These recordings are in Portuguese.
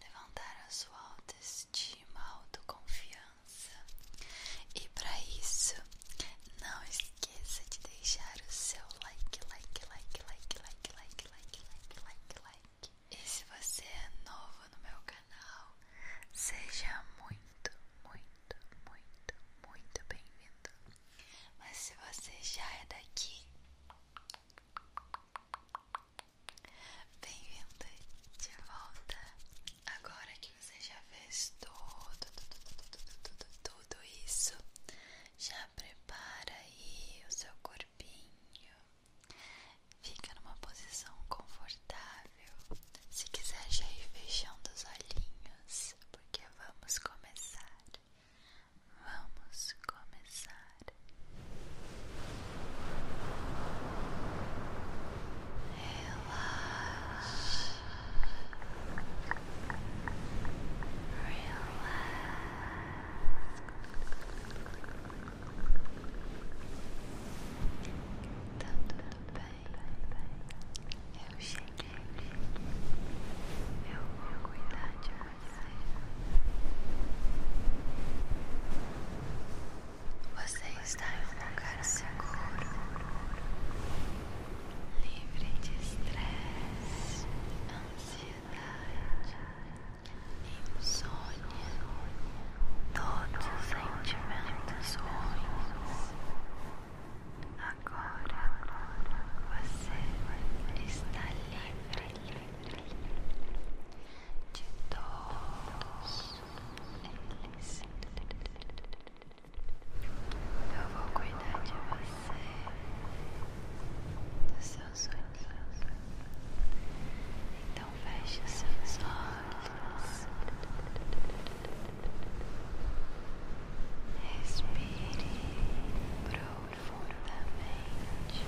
levantar a sua autoestima, autoconfiança. E para isso, não esqueça de deixar o seu like, like, like, like, like, like, like, like, like, like. E se você é novo no meu canal, seja muito, muito, muito, muito bem-vindo. Mas se você já é daqui, bem vindo de volta. Agora que você já fez tudo, tudo, tudo, tudo, tudo isso, já prepara aí o seu corpinho. Fica numa posição confortável. Se quiser, já ir fechando os olhinhos, porque vamos começar. Vamos começar. Relax. Relax. tudo bem. Eu cheguei. Eu vou você está em um lugar seguro, livre de estresse, ansiedade, insônia, todos os sentimentos ruins. Agora você está livre, livre de todos eles. Eu vou cuidar de você, dos seus sonhos. Então feche seus olhos. Respire profundo profundamente.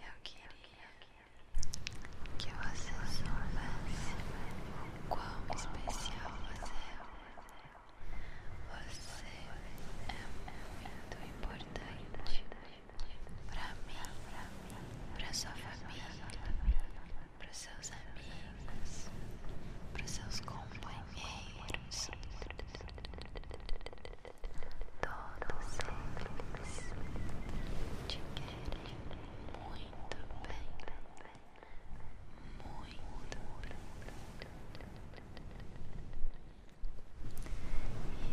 Eu queria que você soubesse o quão especial você é. Você é muito importante para mim, para sua família, para seus amigos, para seus companheiros. Todos eles te querem muito bem, muito.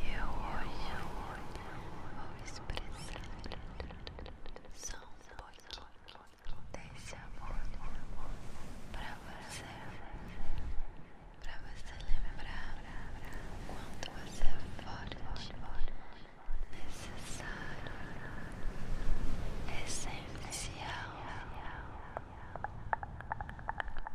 E eu hoje vou expressar só um pouquinho desse amor pra você, pra você lembrar quanto você é forte, necessário, essencial.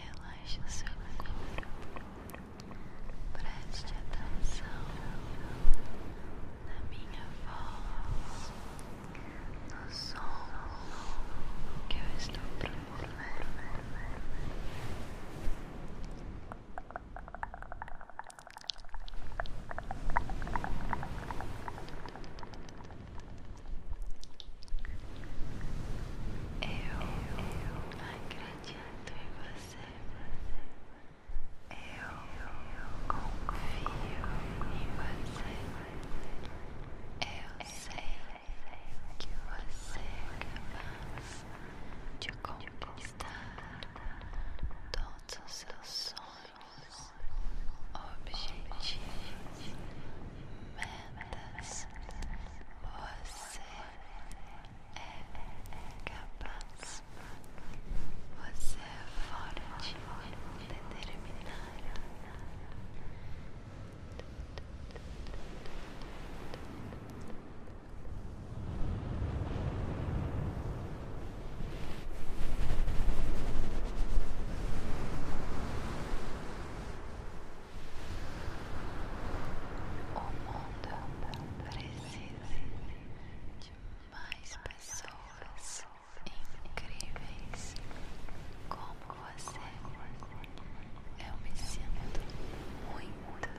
Relaxa o seu corpo, preste atenção na minha voz, no som que eu estou procurando. Eu, eu acredito em você. Eu, confio em você. Eu sei que você é capaz de conquistar manifestar todos os seus sonhos, objetivos, metas. Você é capaz. Você é forte, determinada. Você o mundo precisa de mais pessoas incríveis como você. É. Eu me sinto muito, muito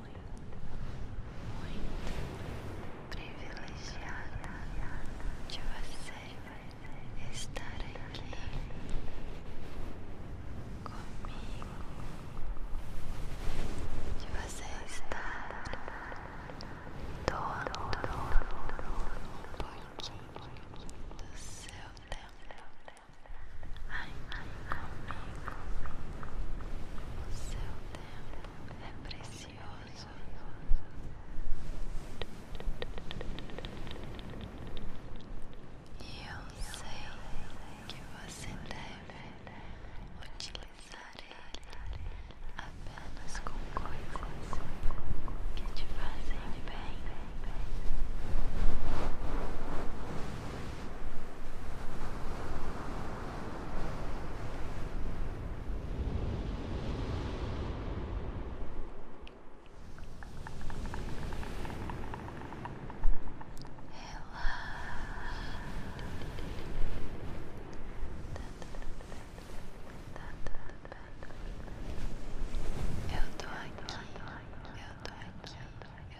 muito privilegiado de você estar aqui comigo, de você estar todo um pouquinho do seu tempo ai comigo. O seu tempo é precioso. E eu sei que você deve utilizar ele apenas com coisas que te fazem bem. Eu tô aqui, eu tô aqui, eu tô aqui, eu tô aqui,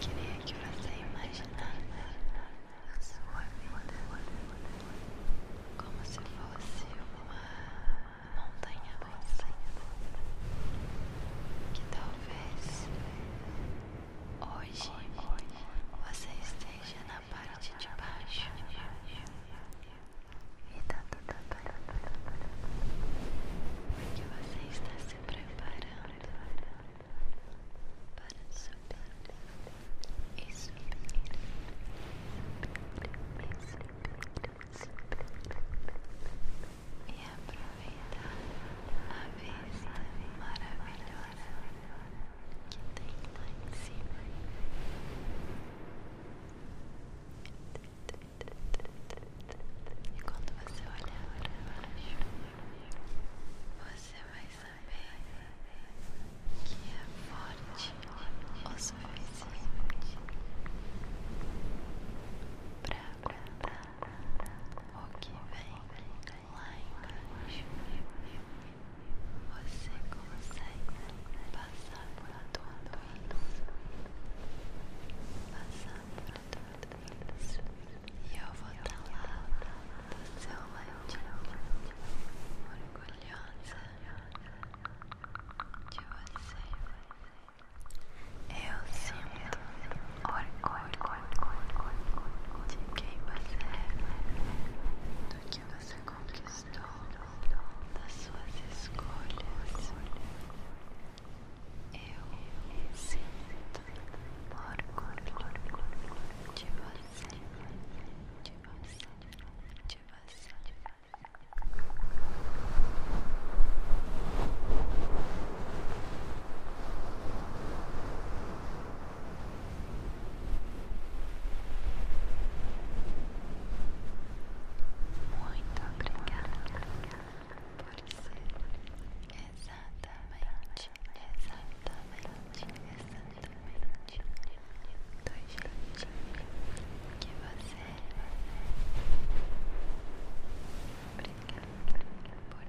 Queria que você imaginasse sua vida como se fosse uma montanha russa que talvez hoje você esteja na parte de baixo e tá tudo tá. porque você está se preparando para subir e subir. e aproveitar a vista maravilhosa que tem lá em cima. E quando você olhar para baixo, você vai saber que é forte o suficiente para aguentar o que vem lá embaixo você consegue passar por tudo isso, passar por tudo isso, e eu vou estar lá do seu lado, orgulhosa de você. Eu sinto orgulho de quem você é, do que você conquistou, das suas escolhas. Eu sinto orgulho de você, de você, de você. Você muito obrigada por ser exatamente, exatamente, exatamente dois jeitinho que você é. Obrigada por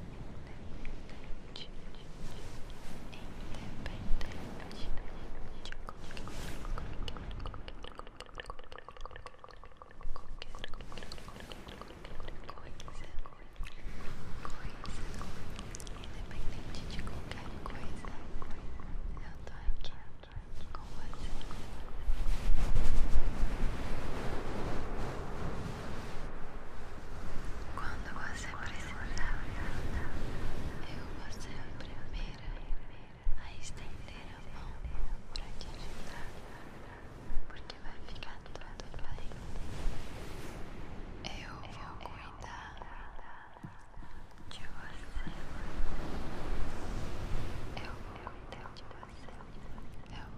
independente de qualquer coisa, eu tô aqui com você. Quando você precisar, eu vou ser a primeira a estender a mão pra te ajudar, porque vai ficar tudo bem. Eu vou cuidar de você. Eu vou cuidar de você. Eu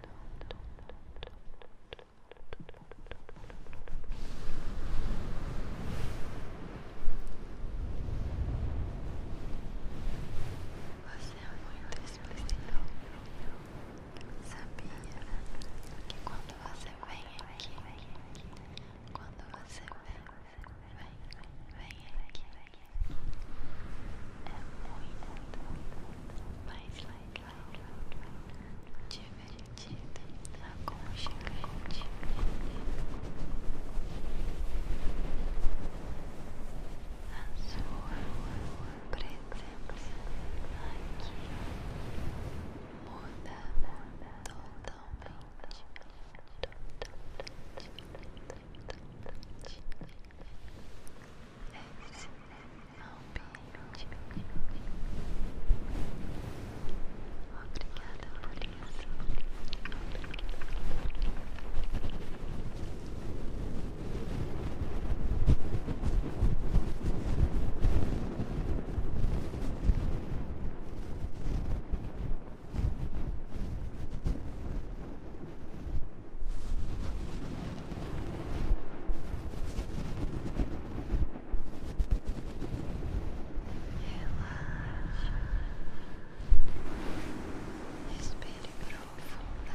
Você é muito especial. Sabia que quando você vem aqui, quando você vem, vem, vem aqui é muito mais legal, divertido, aconchegante. A sua presença aqui muda totalmente, totalmente, totalmente Obrigada por isso. Obrigada. Relaxa, respire profundamente.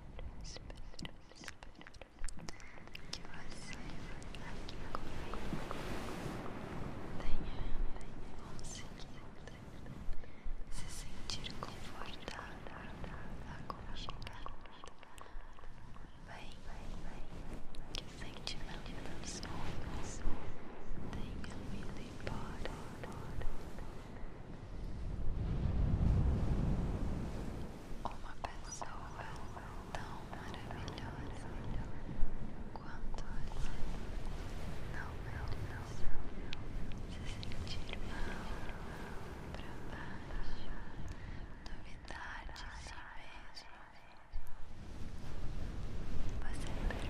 espero, espero que você aqui comigo tenha conseguido se sentir confortada, aconchegada. Bem, que o sentimento dos homens tenha ido embora. Uma pessoa tão maravilhosa quanto você não merece se sentir mal, pra baixo, duvidar de si mesmo. Você é perfeito.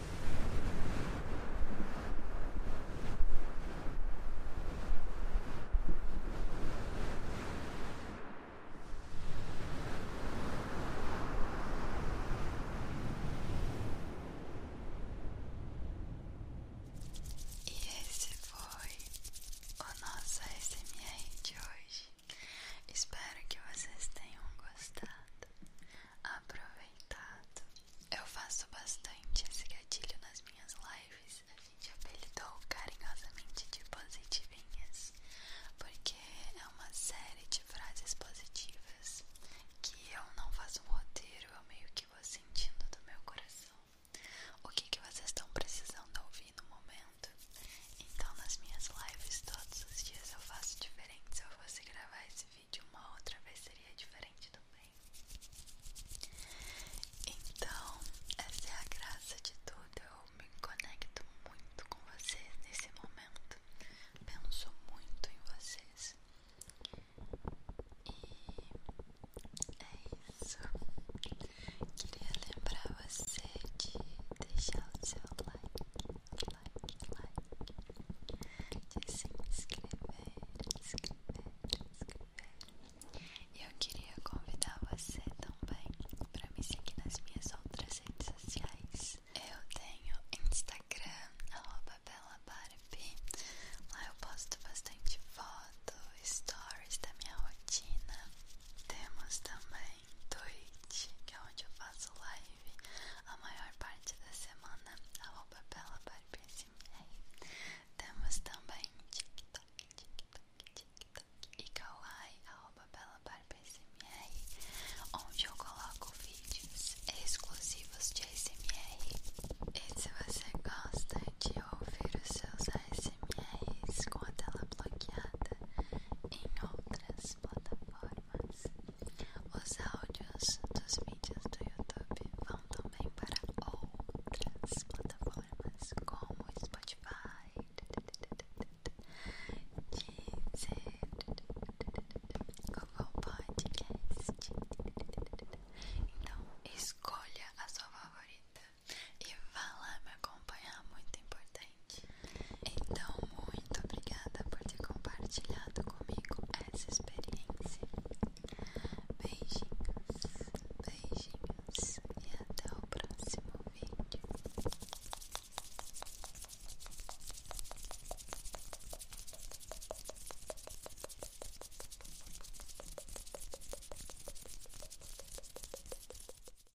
E esse foi o nosso SMR de hoje. Espero que vocês tenham gostado, aproveitado. Eu faço bastante esse gatilho nas minhas lives. A gente apelidou carinhosamente de positivinhas, porque é uma série de frases positivas que eu não faço um roteiro, eu meio que vou sentindo do meu coração o que, que vocês estão precisando ouvir no momento. Então, nas minhas lives todos os dias eu faço diferentes se eu fosse gravar esse vídeo uma outra vez, seria diferente também. Então, essa é a graça de tudo. Eu me conecto muito com vocês nesse momento. Penso muito em vocês. E é isso. Queria lembrar você de deixar o seu like like, like de se inscrever, inscrever, inscrever. E eu queria convidar você também para me seguir nas minhas outras redes sociais. Eu tenho Instagram, arroba BelaBarbie. Lá eu posto bastante foto, stories da minha rotina. Temos também em Twitch, que é onde eu faço live a maior parte da semana. Arroba Bela Barbesimei. Temos também TikTok, TikTok, TikTok e Kawaii, arroba Bela Barbesimei, onde eu coloco vídeos exclusivos de ASMR. E se você gosta de ouvir os seus ASMRs com a tela bloqueada, em outro outras plataformas. Os áudios dos vídeos do YouTube vão também para outras plataformas como Spotify, Deezer, Google Podcast. Então escolha a sua favorita e vá lá me acompanhar, muito importante. Então, muito obrigada por ter compartilhado comigo essa experiência. Beijinhos, beijinhos e até o próximo vídeo.